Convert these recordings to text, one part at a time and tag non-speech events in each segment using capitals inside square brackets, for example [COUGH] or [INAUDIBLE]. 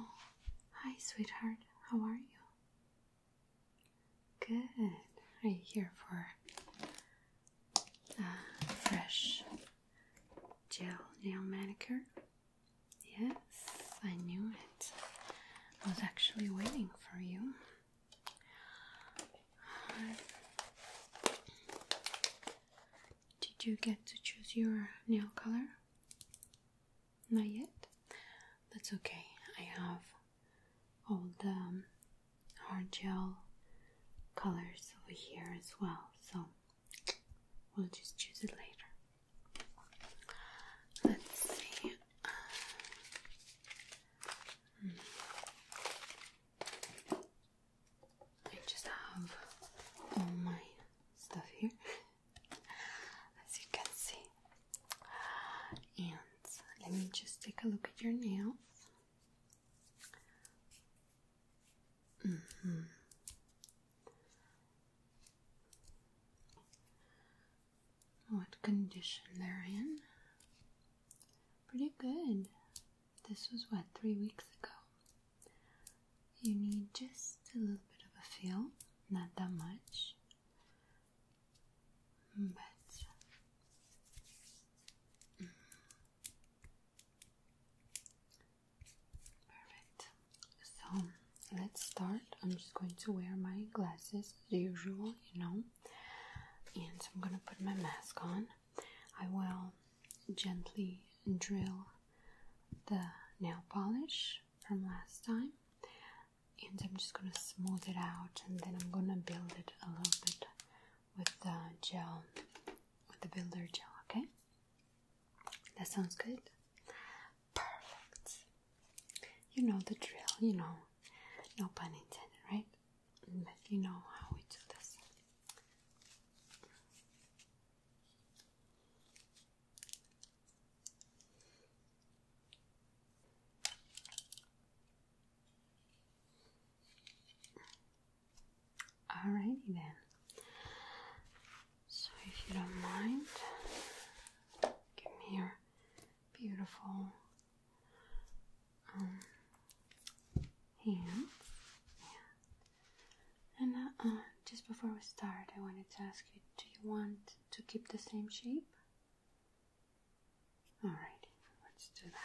Oh, hi, sweetheart. How are you? Good. Are you here for a uh, fresh gel nail manicure? Yes, I knew it. I was actually waiting for you. Did you get to choose your nail color? Not yet? That's okay. I have all the um, hard gel colors over here as well. So we'll just choose it later. Let's see. Hmm. I just have all my stuff here, [LAUGHS] as you can see. And let me just take a look at your nails. -hmm. What condition they're in? Pretty good. This was what, three weeks ago? You need just a little bit of a feel, not that much perfect. So let's start. I'm just going to wear my glasses as usual, you know, and I'm gonna put my mask on. I will gently drill the nail polish from last time and I'm just gonna smooth it out and then I'm gonna build it a little bit with the gel with the builder gel okay that sounds good perfect you know the drill you know no pun intended right but you know how we do this Alrighty then. So, if you don't mind, give me your beautiful um, Yeah. And uh, uh, just before we start, I wanted to ask you do you want to keep the same shape? All right, let's do that.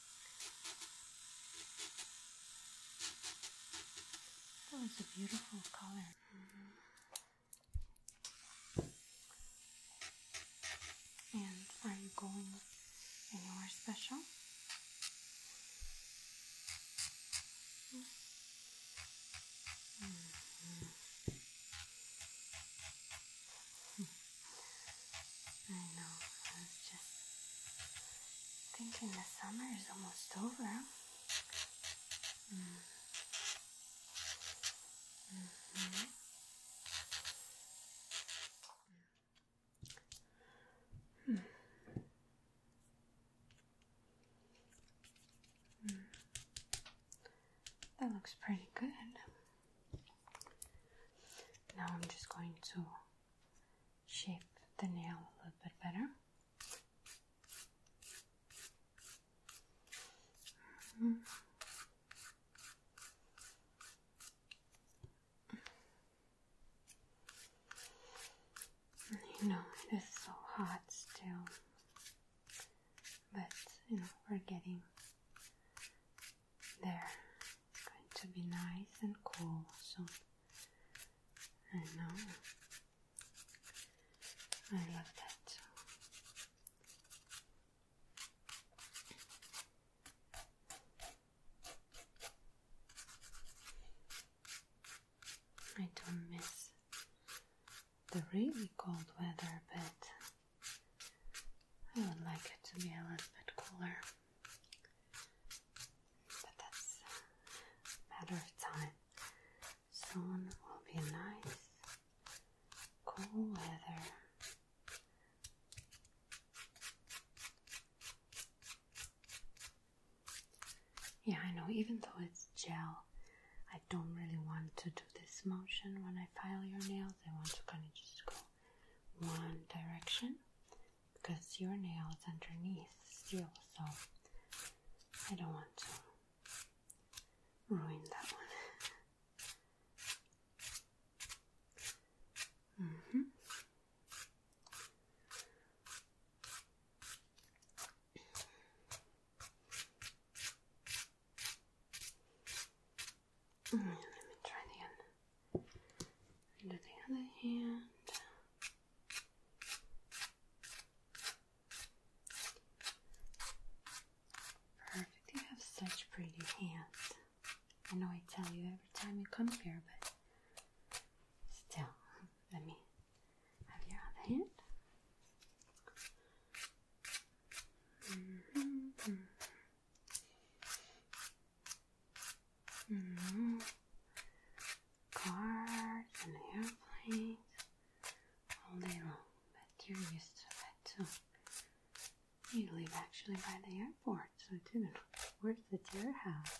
That was a beautiful color. Mm-hmm. And are you going anywhere special? Mm-hmm. Mm-hmm. I know, I was just thinking the summer is almost over. Mm. Mm -hmm. That looks pretty good. Now I'm just going to shape the nail a little bit better. Mm-hmm. You know, it is so hot still, but you know, we're getting there, it's going to be nice and cool So I know. I love that too. I don't miss the really cold weather, but I would like it to be a little bit cooler, but that's matter of time. Soon will be nice, cool weather. Yeah, I know, even though it's gel, I don't really want to do this motion when I file your nails. I want to kind of just go one direction because your nail is underneath steel, so I don't want to ruin that one. [LAUGHS] Mm-hmm. Oh, let me try again. And do the other hand. Perfect. You have such pretty hands. I know I tell you every time you come here, but still, let me have your other hand. Mm-hmm, mm-hmm. No. Mm-hmm. and airplanes all day long, but you're used to that too. You live actually by the airport, so it didn't work at your house.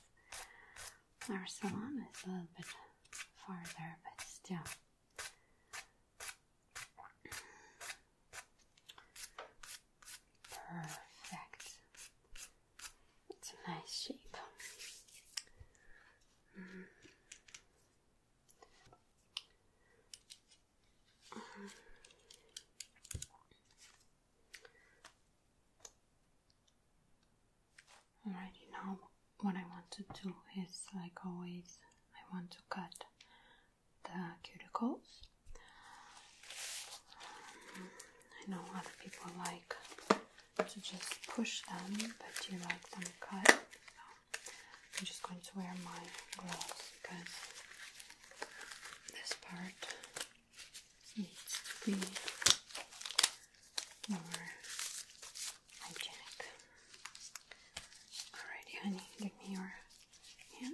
Our salon is a little bit farther, but still. Perfect. It's a nice shape. Mm-hmm. Alrighty, now what I want to do is like always, I want to cut the cuticles. I know other people like to just push them, but you like them cut. So I'm just going to wear my gloves because this part needs to be more hygienic. Alrighty, honey, give me your hand.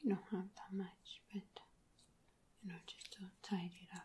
You don't have that much, but you know, just to tidy it up.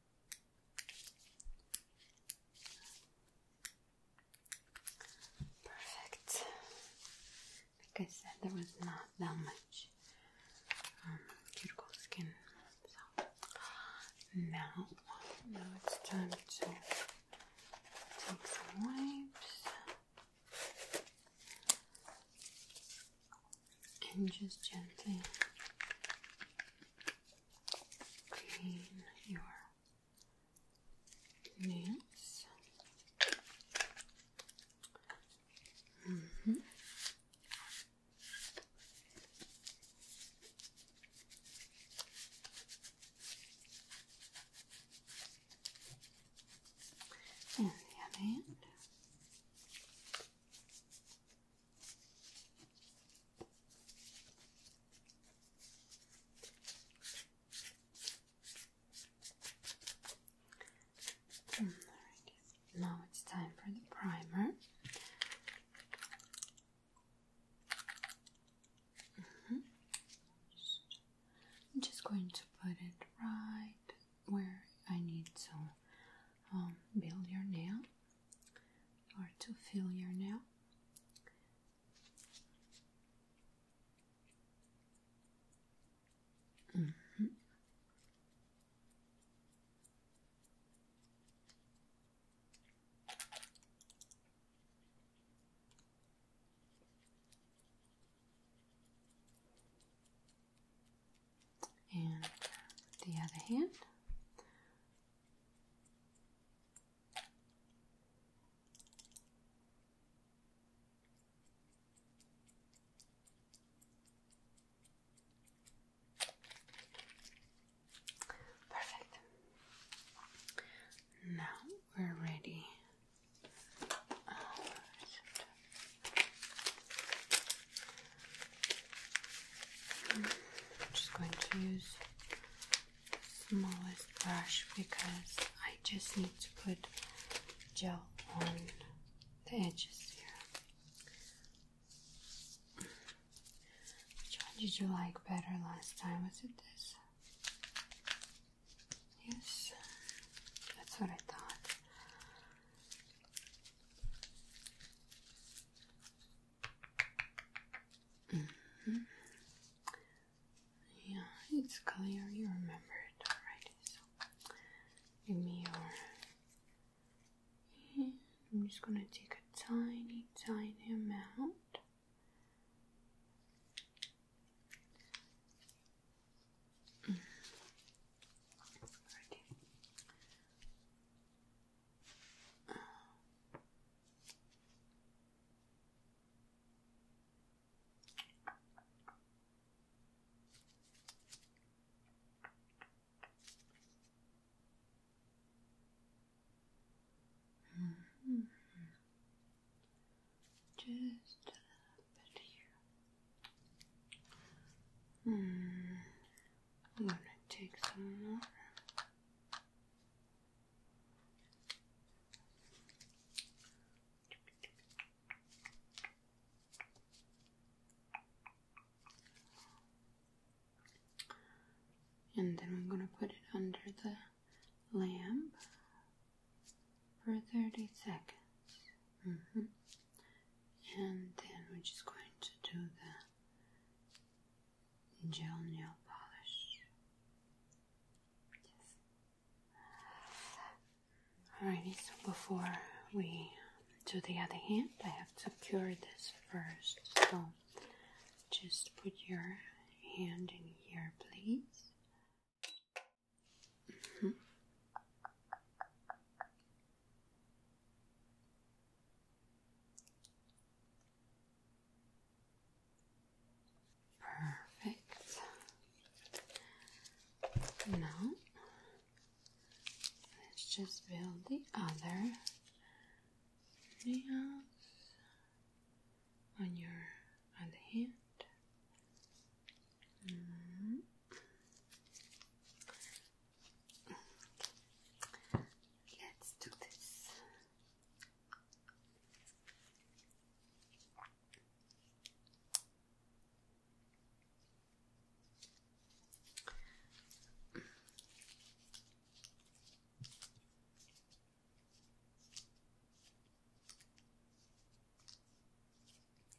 Perfect. Like I said, there was not that much um, cuticle skin. So now it's time to take some wipes and just gently clean your nails. Mm-hmm. And the other end. Mm, now it's time for the primer. Mm-hmm. I'm just going to put it right where I need to um, build your nail or to fill your nail. Mm-hmm and the other hand. Perfect. Now we're ready. Uh, I'm just going to use the smallest brush because I just need to put gel on the edges here. Which one did you like better last time? Was it this? Yes, that's what I thought. Mm-hmm. Yeah, it's clear you remember it already. So give me your. I'm just gonna take a tiny, tiny amount. Mm. Alrighty. Mm-hmm. Uh. Just a bit here. Hmm. I'm gonna take some more. And then I'm going to put it under the lamp for 30 seconds. Mm-hmm and then we're just going to do the gel nail polish. Alrighty, so before we do the other hand, I have to cure this first. So just put your hand in here, please. Mm-hmm. Perfect. Now let's just build the other nails on your other hand. Mm. Let's do this.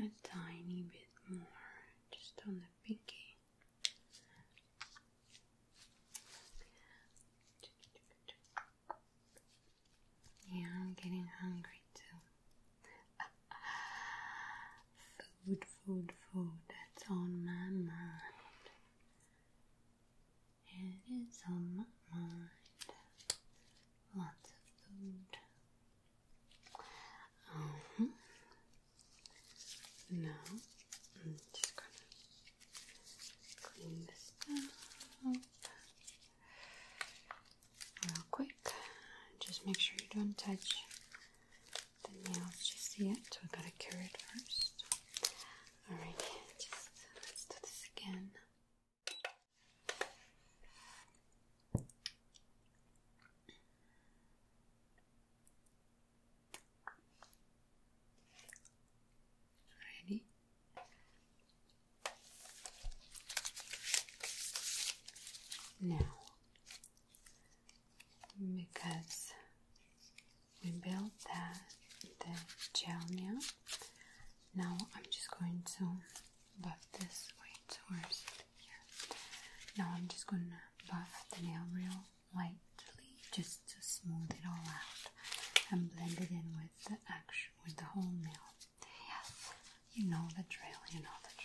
A tiny bit more, just on the pinky. Yeah, I'm getting hungry too. [LAUGHS] Food, food, food, that's on my mind. It is on my mind. Lots of food. Uh just gonna clean this up real quick. Just make sure you don't touch the nails just yet. We've got to cure it first. Alright, let's do this again. Ready? Now because we built that the gel now. Now I'm just going to buff this way towards here. Now I'm just going to buff the nail real lightly just to smooth it all out and blend it in with the action with the whole nail. Yes, you know the drill, you know the drill.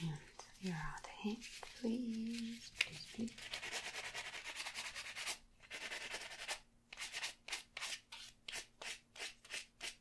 And your other hand, please, please, please.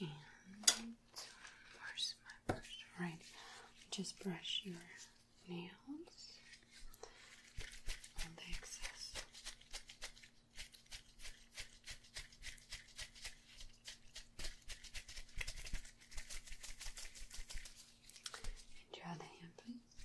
And where's my brush? Right, just brush your nails on the excess. And your hand, please.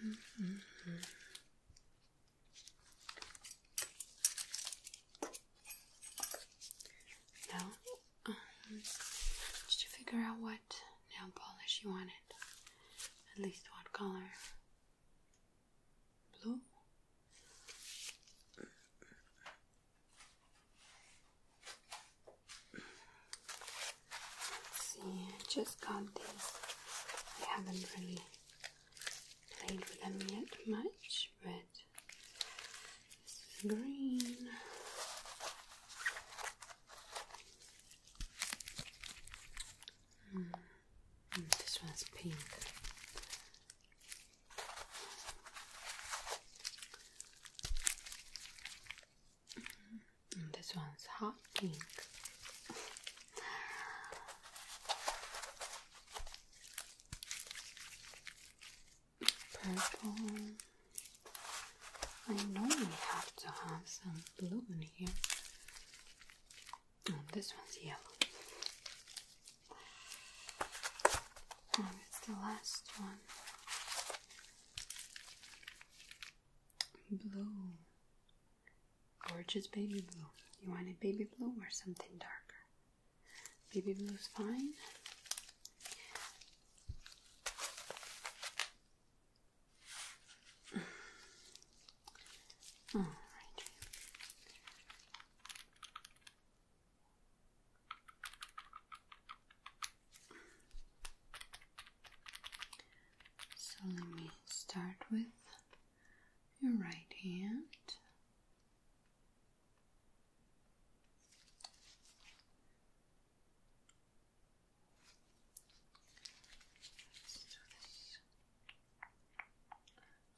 Mm -hmm. Now, um, did figure out what nail polish you wanted? At least what color? Blue? Let's see, I just got these. I haven't really played with them yet much, but this is green. Hmm, hmm, this one's pink. Hmm. Mm, this one's hot pink. Purple. I know we have to have some blue in here. Mm, this one's yellow. And oh, it's the last one. Blue. Gorgeous baby blue. You wanted baby blue or something darker? Baby blue's fine. So let me start with your right hand.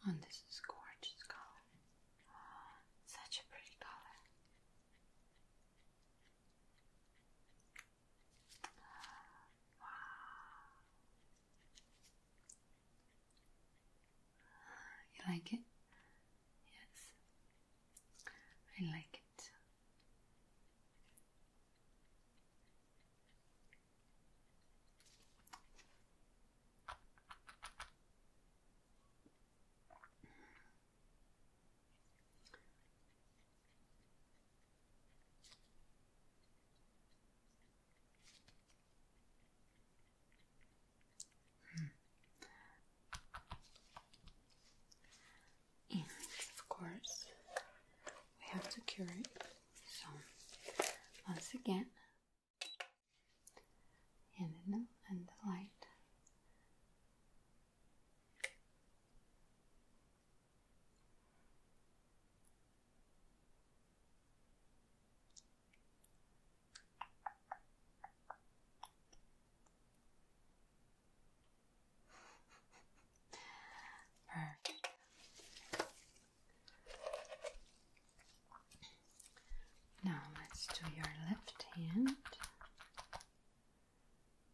let this. Oh, gorgeous color. such a pretty color. You like it? Yes, I like it. And hmm. of course, we have to cure it. So, once again, and the, and the light. Perfect. Now let's do your left hand.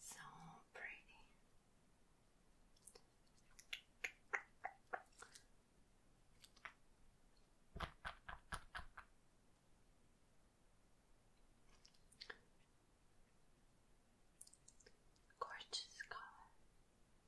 So pretty. Gorgeous color.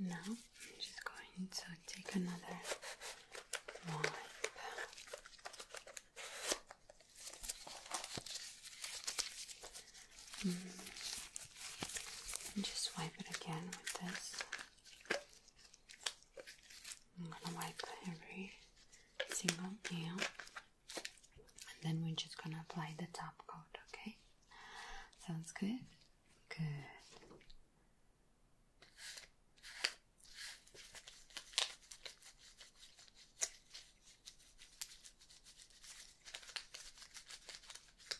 Now I'm just going to take another wipe. Mm. And just wipe it again with this. I'm gonna wipe every single nail and then we're just gonna apply the top coat, okay? Sounds good? Good.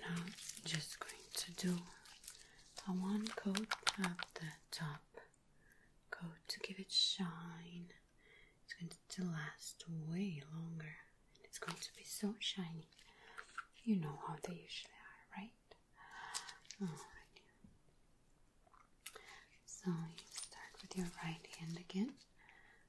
Now I'm just going to do a one coat at the top coat to give it shine. It's going to last way longer and it's going to be so shiny. You know how they usually are, right? So you start with your right hand again.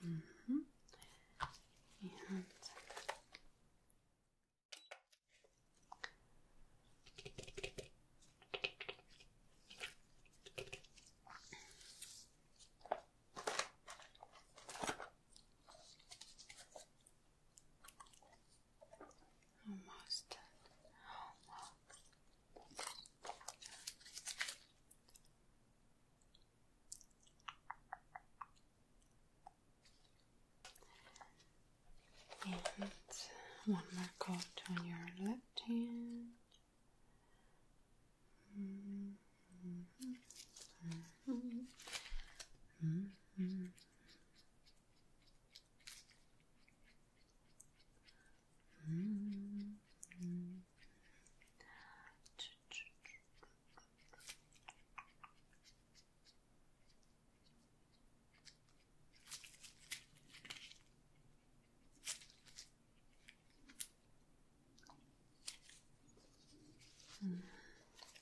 Mm -hmm. And Almost. done. And one more coat on your left hand. Mm-hmm. Mm-hmm. Mm-hmm. Mm -hmm. Mm.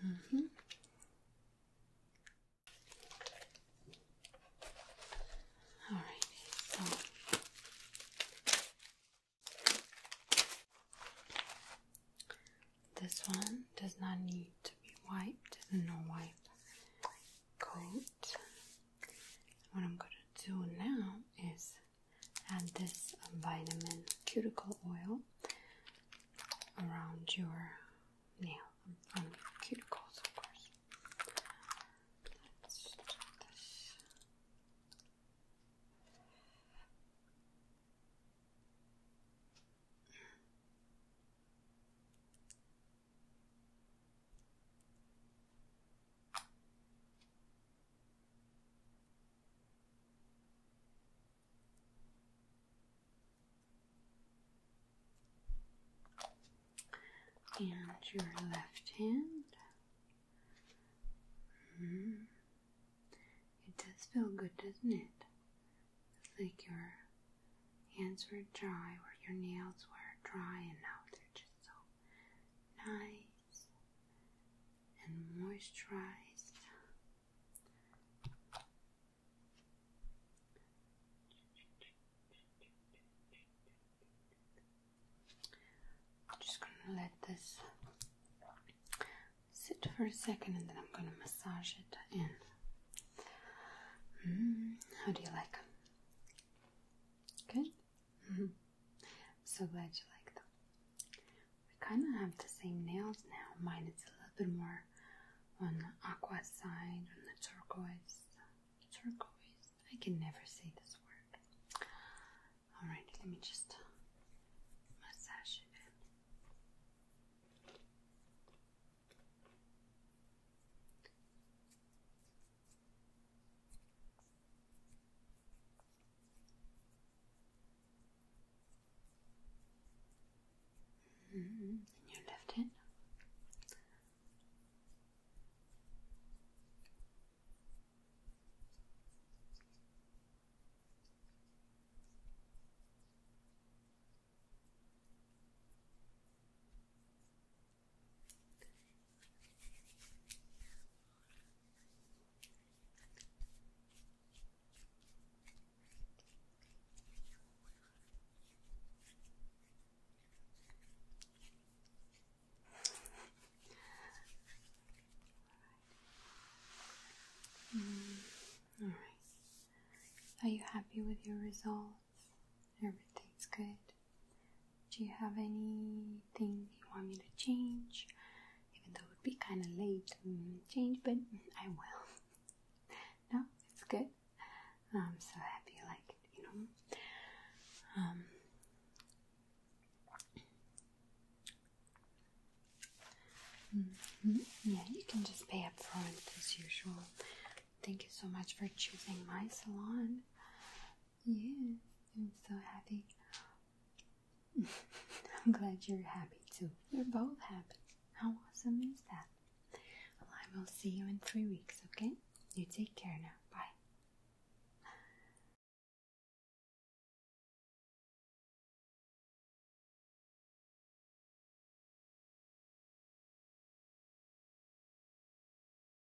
Mm -hmm. All right, so this one does not need to be wiped, no wipe coat. What I'm going to do now is add this vitamin cuticle oil around your nail, um, um, cuticles, of course and your left hand. -hmm. It does feel good, doesn't it? It's like your hands were dry, or your nails were dry, and now they're just so nice and moisturized. I'm just gonna let this sit for a second and then I'm gonna massage it in. Mm, how do you like? Good? I'm mm-hmm. so glad you like them. We kind of have the same nails now. Mine is a little bit more on the aqua side, on the turquoise. Turquoise. I can never say this word. Alright, let me just um, massage it Mm -hmm. And your left hand. Mm, Are you happy with your results? Everything's good. Do you have anything you want me to change? Even though it would be kind of late to mm, change, but I will. [LAUGHS] no, it's good. I'm so happy you like it, you know. Um, mm-hmm, yeah, you can just pay up front as usual. Thank you so much for choosing my salon. Yeah. I'm so happy. [LAUGHS] I'm glad you're happy too. we are both happy. How awesome is that? I will see you in three weeks, okay? You take care now. Bye.